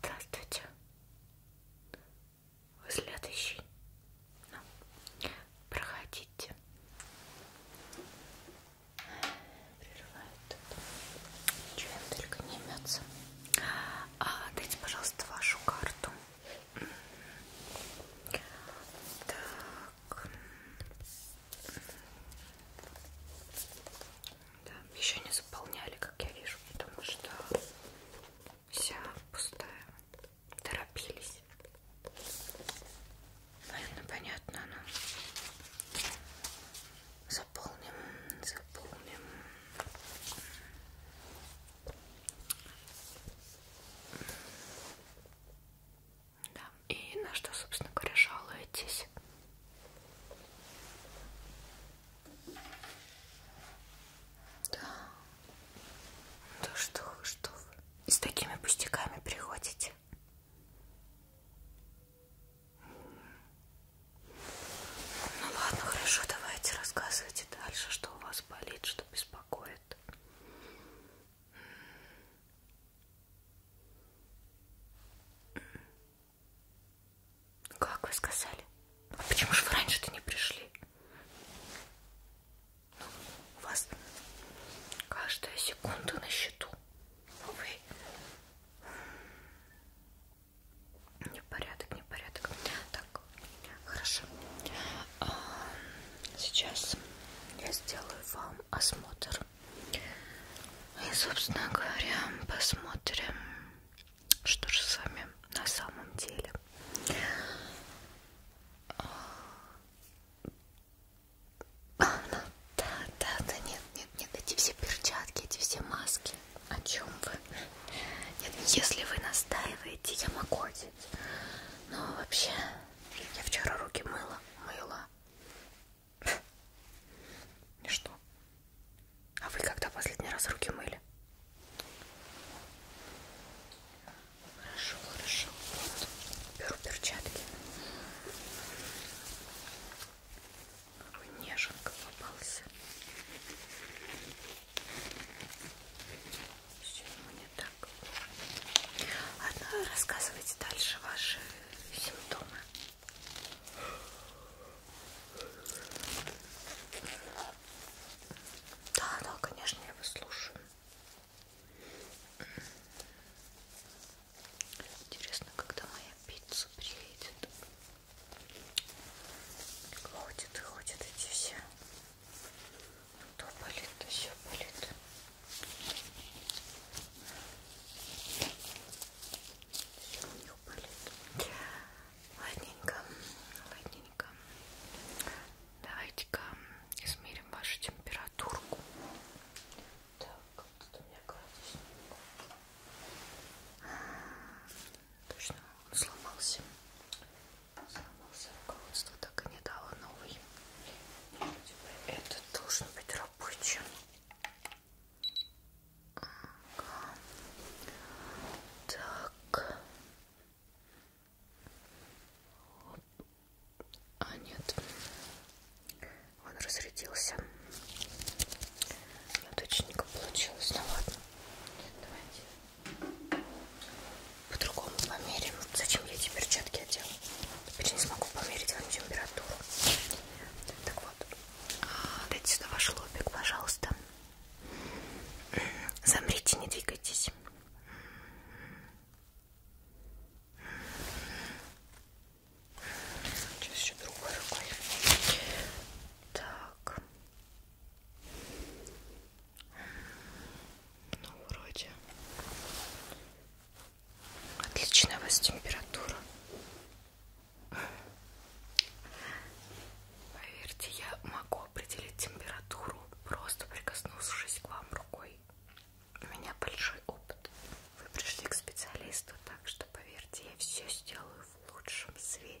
Здравствуйте. Вы следующий. Ну, проходите. Прерывает. Ничего им только не имется. А, дайте, пожалуйста, вашу карту. Так. Да, еще не заполняли, как я вижу, потому что вся пустая. Торопились. Наверное, понятно, но ну. заполним, заполним. Да. И на что, собственно говоря, жалуетесь? Да. Да что вы, что вы? И с такими пустяками приходите? Ну ладно, хорошо, давайте рассказывайте дальше, что у вас болит, что беспокоит. Как вы сказали? А почему же вы раньше-то не пришли? Ну, у вас каждая секунда на счету. Но а вы... Непорядок, непорядок. Так, хорошо. А, сейчас я сделаю вам осмотр и, собственно говоря, посмотрим, что же с вами на самом деле. А, ну, да, да, да, нет, нет, нет, эти все перчатки, эти все маски. О чем вы? Нет, если вы настаиваете, я могу одеть. Но вообще, я вчера руки мыла, мыла. Ничто. А вы когда последний раз руки мыли? Хорошо, хорошо. Вот. Беру перчатки. Какой неженка попался. Все ему не так. Ладно, рассказывайте дальше ваши симптомы. Да, да, конечно, я вас слушаю. Интересно, когда моя пицца приедет. Ходят и ходят эти все. Ну, то болит, то все болит. Еще не упали. Ладненько, ладненько. Давайте-ка измерим вашу температурку. Так, тут у меня градусник. А, точно, он сломался. Сломался руководство, так и не дало новый. Этот должен быть работающий капучино. Ага. Так. А нет, он разрядился. Не точненько получилось. Ну ладно, давайте по-другому померим. Зачем я теперчатки одела? Теперь не смогу померить вам температуру. Так вот, а, дайте сюда ваш лобик, пожалуйста. Замрите, не двигайтесь. Сейчас еще другой рукой. Так. Ну, вроде. Отличная у вас температура. Поверьте, я могу определить температуру, просто прикоснувшись к вам рукой. У меня большой опыт. Вы пришли к специалисту, так что поверьте, я все сделаю в лучшем свете.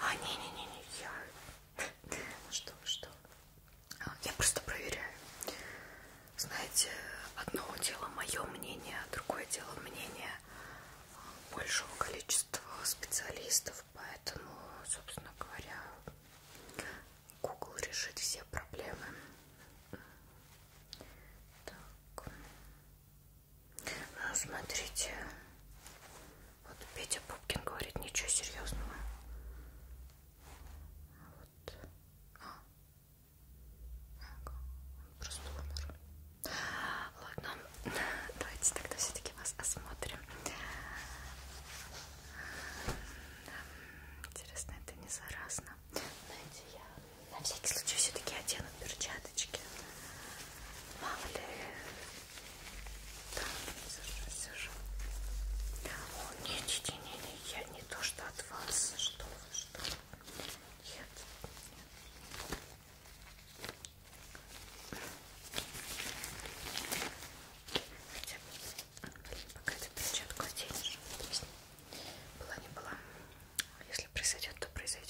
а, не-не-не, я... Ну что вы, что а, Я просто проверяю. Знаете, одно дело мое мнение, а другое дело мнение а, большего количества специалистов. Поэтому, собственно говоря, Google решит все проблемы. Так. Ну, смотрите. Вот Петя Пупкин говорит, ничего серьезного. А, вот. А. Просто умер. Ладно, давайте тогда все-таки вас осмотрим. Интересно, это не заразно. Знаете, я на всякий случай все-таки одену перчатки порядочке. Мало ли. Да, все же, все же. О, нет, не, не, не, я не то что от вас. Что вы, что вы. Нет, нет. Хотя бы, пока эту перчатку оденешь, была не была. Если произойдет, то произойдет.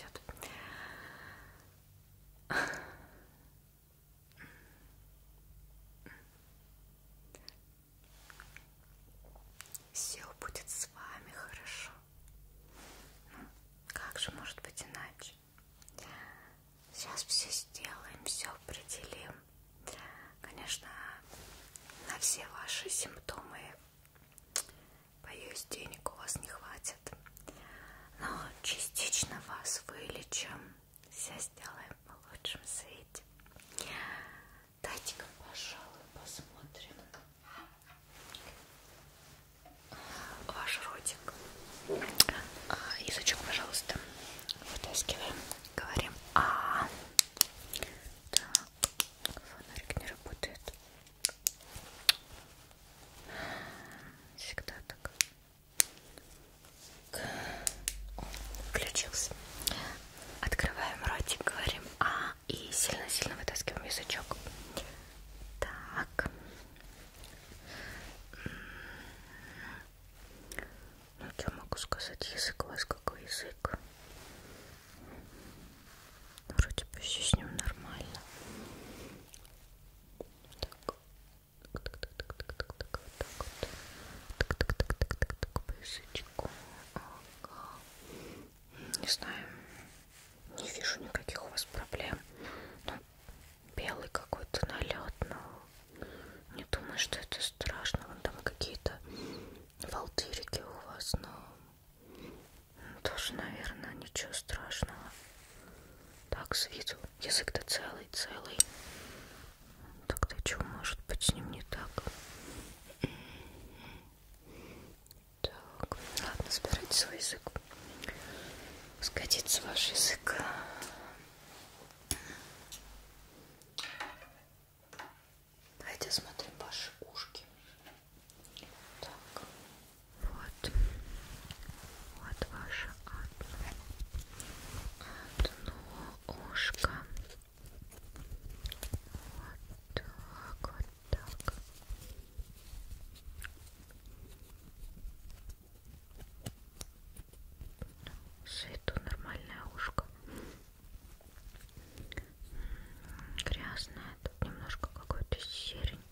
Все будет с вами хорошо. Ну, как же может быть иначе? Сейчас все сделаем, все определим. Конечно, на все ваши симптомы, боюсь, денег у вас не хватит вылезет. Но частично вас вылечим. Все сделаем в лучшем свете. Дайте-ка, пожалуй, посмотрим ваш ротик. А, язычок, пожалуйста, вытаскиваем. Говорим А. Так, фонарик не работает. Всегда так. Включился. Открываем ротик, говорим А и сильно-сильно вытаскиваем язычок. Так. Ну, я могу сказать, язык у вас какой язык? Вроде бы все с ним нормально. Так. Пышечку. Не знаю, не вижу никаких у вас проблем. Ну, белый какой-то налет, но не думаю, что это страшно. Вон там какие-то волдырики у вас, но тоже, наверное, ничего страшного. Так, с виду. Язык-то целый, целый. Так-то что может быть с ним не так? Так, ладно, собирайте свой язык. Сгодится ваш язык. Давайте осмотрим ваши ушки. Так, вот. Вот ваше одно, одно ушко. Вот так, вот так. Свету нормальное ушко. Грязное, тут немножко какой-то серень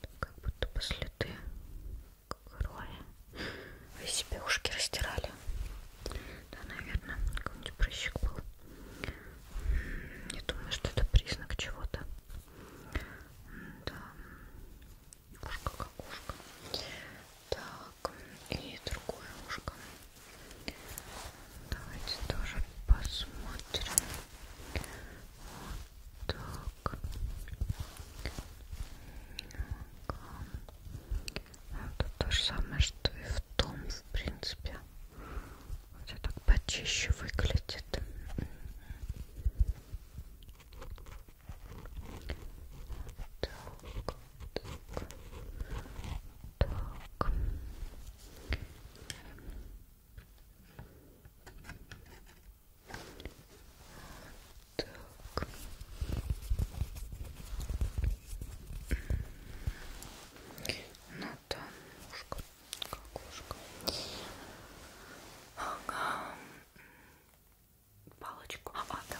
там как будто бы следы крови. Вы себе ушки растирали? Да, наверное, какой-нибудь прыщик был. Я думаю, что это признак чего-то. Да. Ушко как ушко. Так, и другое ушко. Давайте тоже посмотрим. Вот так это то же самое что и в том в принципе хотя так почище выглядит так, так, так. Так. Ну там ушко, как ушко. Ага. Палочку. А, а да.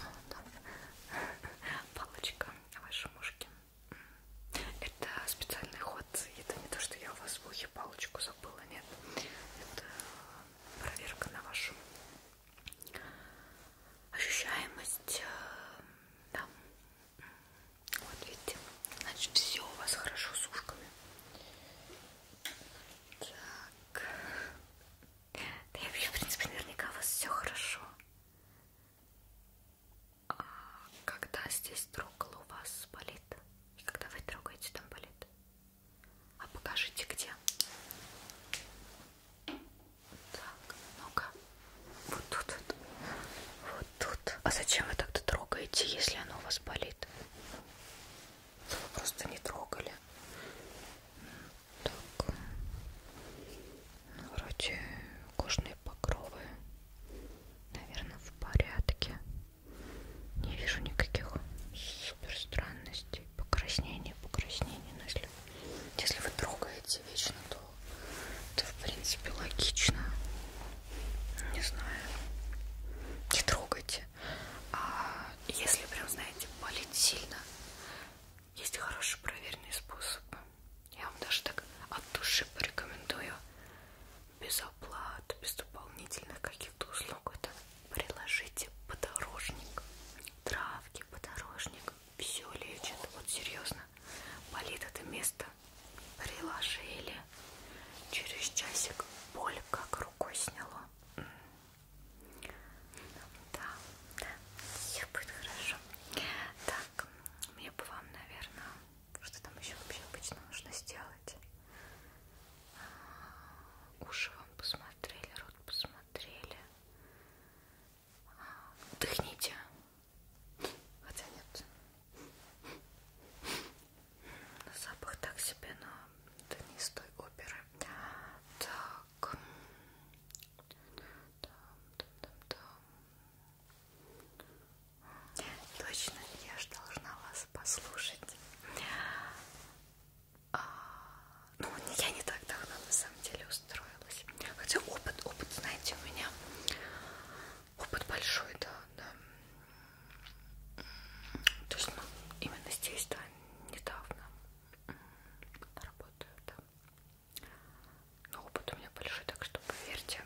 А, да. Палочка вашей мушки. Это специальный ход. Это не то, что я у вас в ухе я палочку забыла, нет. Это э, проверка на вашу ощущаемость. Э, да. Вот видите, значит, все у вас хорошо с ушками. Так. Да я вообще, в принципе, наверняка у вас все хорошо. А когда здесь трогал, у вас болит? И когда вы трогаете, там болит? А покажите где. Так, ну-ка. Вот тут. Вот тут. А зачем вы тогда трогаете, если оно у вас болит? Вы просто не трогали. Так. Ну, вроде кожные покровы. Наверное, в порядке. Не вижу никаких супер странностей, покраснений, покраснений. Но если, если вы трогаете вечно, то это в принципе логично. Не знаю. Не трогайте. А если прям, знаете, болит сильно, есть хорошие проверенные способы. Я вам даже так от души порекомендую без оплат, без дополнительных каких-то услуг. Это приложите подорожник, травки, подорожник. Все лечит. Вот серьезно. Болит это место. Приложили. Через часик боль как рукой сняло. Да, да, все будет хорошо. Так, мне бы вам, наверное, что там еще вообще обычно нужно сделать? Уши вам посмотрели, рот посмотрели. Дыхните. Хотя нет. Запах так себе, но это не из той оперы. Так. Там, там, там, там. Точно, я же должна вас вас послушать. А, ну, я не так давно на самом деле устроилась. Хотя опыт, опыт, знаете, у меня опыт большой, да, да. То есть, ну, именно здесь, да, недавно работаю, да. Но опыт у меня большой, так что поверьте,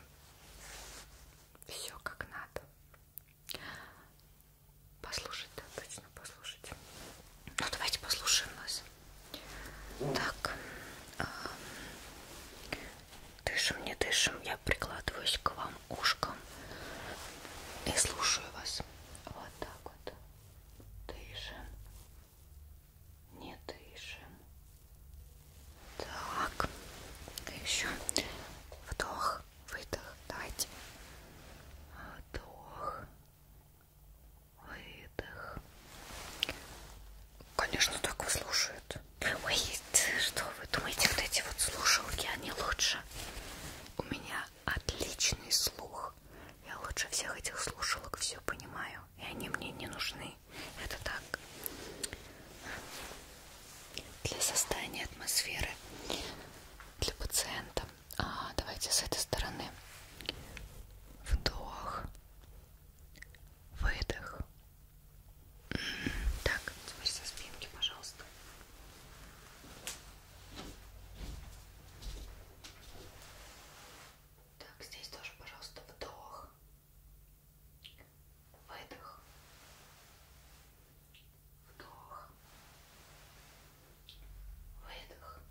все как надо. Послушать, да, точно послушать. Ну, давайте послушаем вас. Так. А, дышим, не дышим. Я прикладываюсь к вам ушком и слушаю вас. Вот так вот. Дышим. Не дышим. Так. Еще вдох выдох, давайте, вдох, выдох. Конечно, так вы слушают. Ой, что вы думаете, вот эти вот слушалки, они лучше? У меня отличный слух. Я лучше всех этих слушалок все понимаю, и они мне не нужны. Это так для создания атмосферы для пациента. А, давайте с этой стороны. Вдох, выдох. Так, теперь со спинки, пожалуйста. Так, здесь тоже, пожалуйста, вдох, выдох, Вдох. Выдох.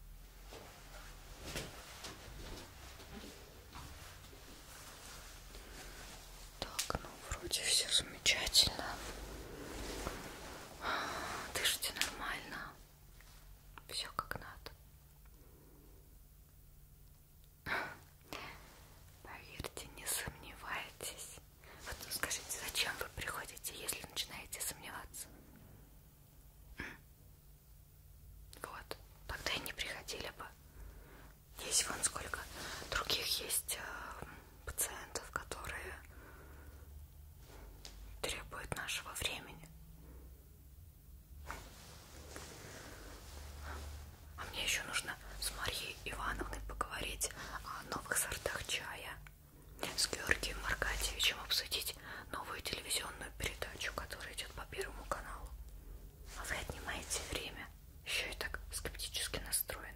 Так, ну вроде все замечательно. А, дышите нормально. Все как надо. Поверьте, не сомневайтесь, вот скажите, зачем вы приходите, если начинаете сомневаться? Вот, тогда и не приходили бы. Есть вон сколько других есть э, пациентов, которые требуют нашего времени. А мне еще нужно с Марией Ивановной поговорить новых сортах чая, с Георгием Аркадьевичем обсудить новую телевизионную передачу, которая идет по Первому каналу. А вы отнимаете время, еще и так скептически настроены.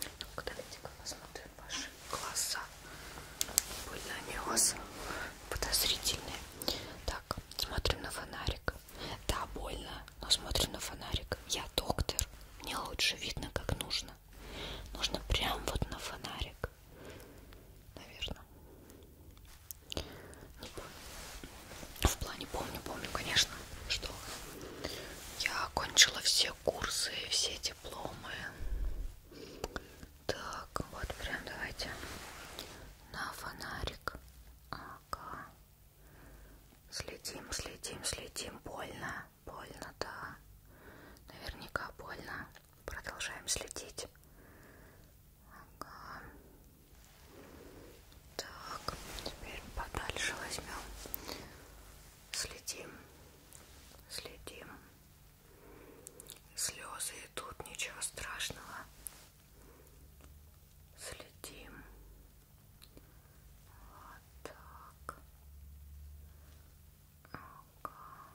Ну-ка, давайте-ка посмотрим ваши глаза. Были они у вас подозрительные. Так, смотрим на фонарик фонарик. Да, больно, но смотрю на фонарик. Я доктор. Мне лучше видно, как нужно. Нужно прям вот на фонарик. Наверное. Не помню. В плане помню, помню, конечно, что я окончила все курсы, все дипломы. Так, вот прям давайте на фонарик. Ага. Следим, следим, следим. Больно, больно, да. Наверняка больно. Продолжаем следить. Ага. Так, теперь подальше возьмем. Следим, следим. Слезы идут, ничего страшного следим вот так ага.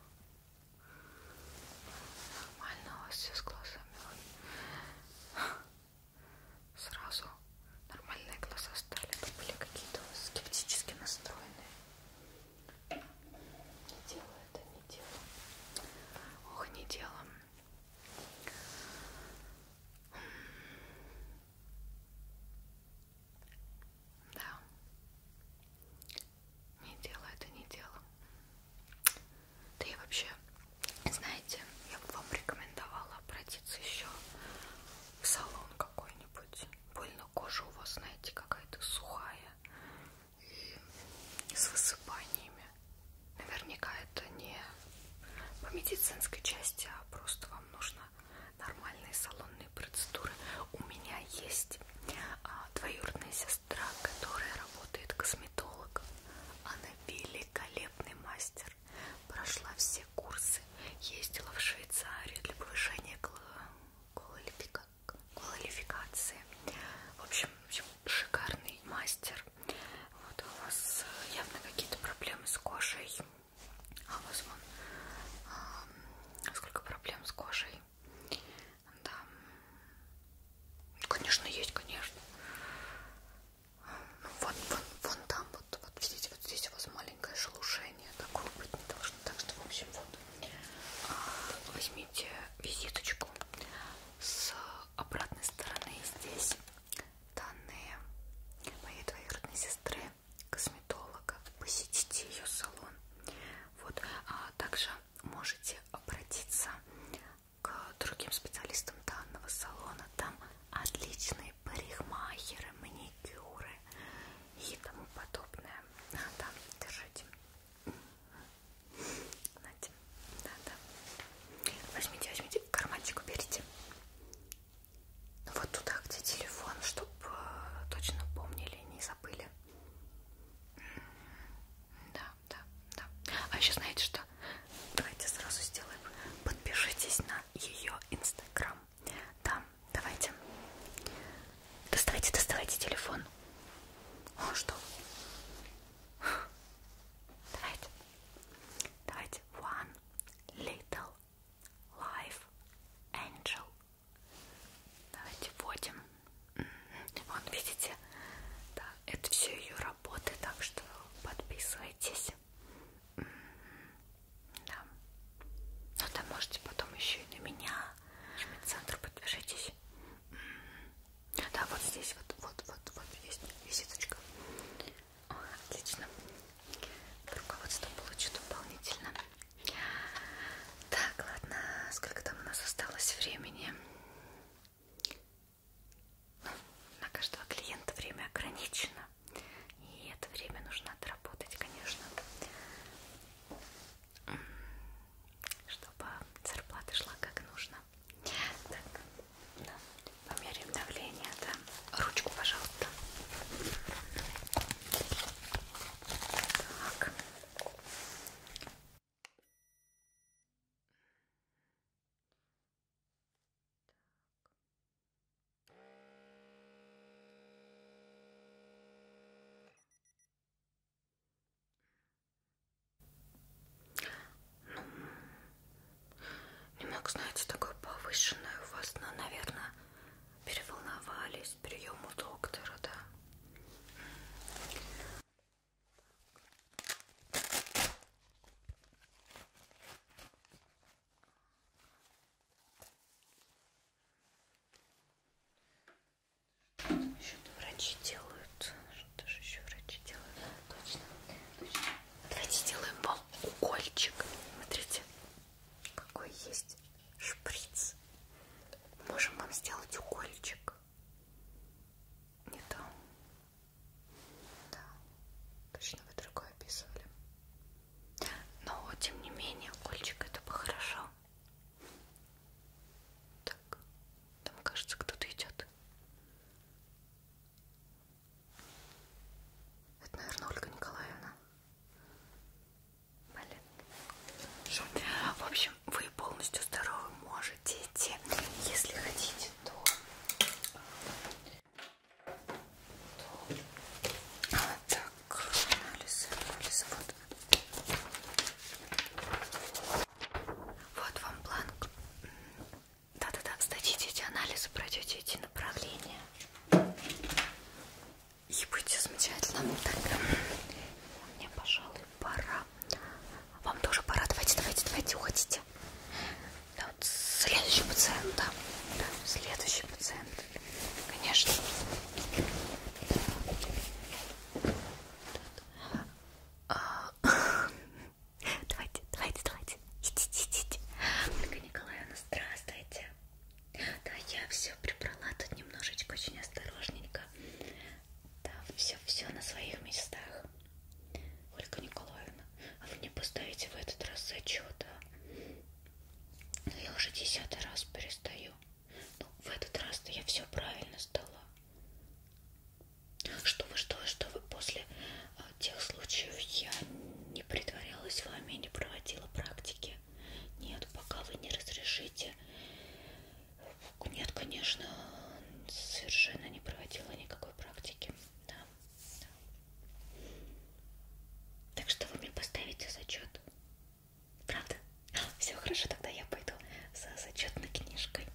нормально у вас все с глазами сразу нормальные глаза стали были какие-то скептически настроенные не дело это не дело ох не дело да. Не дело это не дело. Да и вообще, знаете, я бы вам рекомендовала обратиться еще в салон какой-нибудь. Больно кожа у вас, знаете, какая-то сухая и с высыпаниями. Наверняка это не по медицинской части, а просто вам нужно нормальные салонные процедуры. У меня есть а, двоюродная сестра, которая работает косметологом. Она великолепный мастер. Прошла все курсы, ездила в Швейцарию для повышения квалификации. В общем, шикарный мастер. Вот у вас э, явно какие-то проблемы с кожей. А у вас вон а, сколько проблем с кожей. Да. Конечно, есть, конечно. Ну, вон, вон, вон там, вот, вот видите, вот здесь у вас маленькое шелушение. Такого быть не должно. Так что, в общем, вот а, возьмите визиточку с обратной стороны здесь данные моей двоюродной сестры, косметолога. Посетите ее салон. Вот. А также можете обратиться к другим специалистам данного салона. Там отличные парикмахеры, маникюры и тому подобное. А, да, держите. Знаете, да, да. Возьмите, возьмите, карманчик уберите. Вот туда, где телефон, чтобы э, точно помнили, не забыли. Да, да, да. А еще знаете что? Давайте сразу сделаем. Подпишитесь на ее инстаграм. Да, давайте. Доставайте, доставайте телефон. О, что? Давайте. Давайте. One, Little Life Angel. Давайте вводим. Вон, видите, да, это все ее работы, так что подписывайтесь. Да. Ну да, можете потом еще и на меня. Центр подпишитесь. Да, вот здесь вот, вот, вот, вот есть визиточка. О, отлично. Руководство получу дополнительно. Так, ладно, сколько там у нас осталось времени? Ну, на каждого клиента время ограничено. И это время нужно отработать, конечно. Чтобы зарплата шла как нужно. Так, да. Померяем давление, да? Ручку, пожалуйста. Так. Ну, не мог знать, что такое повышенное у вас, но, наверное, переволновались приему доктора, да? Что-то врачи делают. Что же еще врачи делают? Точно, точно. Давайте сделаем бомб укольчик. Смотрите, какой есть шприц. Можем вам сделать укольчик. Не то. Да, точно вы другое описывали. Но, тем не менее, укольчик это бы хорошо. Так, там кажется кто-то идет. Это, наверное, Ольга Николаевна. Блин. Шо? В общем, вы полностью здоровы можете идти. Если хотите, то, то... А, так, анализы, анализы, вот. Вот вам бланк. Да-да-да, сдадите эти анализы, пройдете эти направления. И будете замечательно. Тогда мне, пожалуй, пора. Вам тоже пора. Давайте, давайте, давайте, уходите. Да, вот следующий пациент, да. да. Следующий пациент. Конечно. А, Давайте, давайте, давайте. Идите, идите. Ольга Николаевна, здравствуйте. Да, я все прибрала тут немножечко, очень осторожненько. Да, все, все на своих местах. Ольга Николаевна, а вы не поставите в этот раз зачет, а? Ну, я уже десятый раз перестаю. Ну, в этот раз-то я все правильно сдала. Что вы, что вы, что вы после тех случаев я не притворялась вами, не проводила практики. Нет, пока вы не разрешите. Нет, конечно, совершенно не проводила никакой практики. Да. да. Так что вы мне поставите зачет. Правда? Все хорошо, тогда я пойду за зачетной книжкой.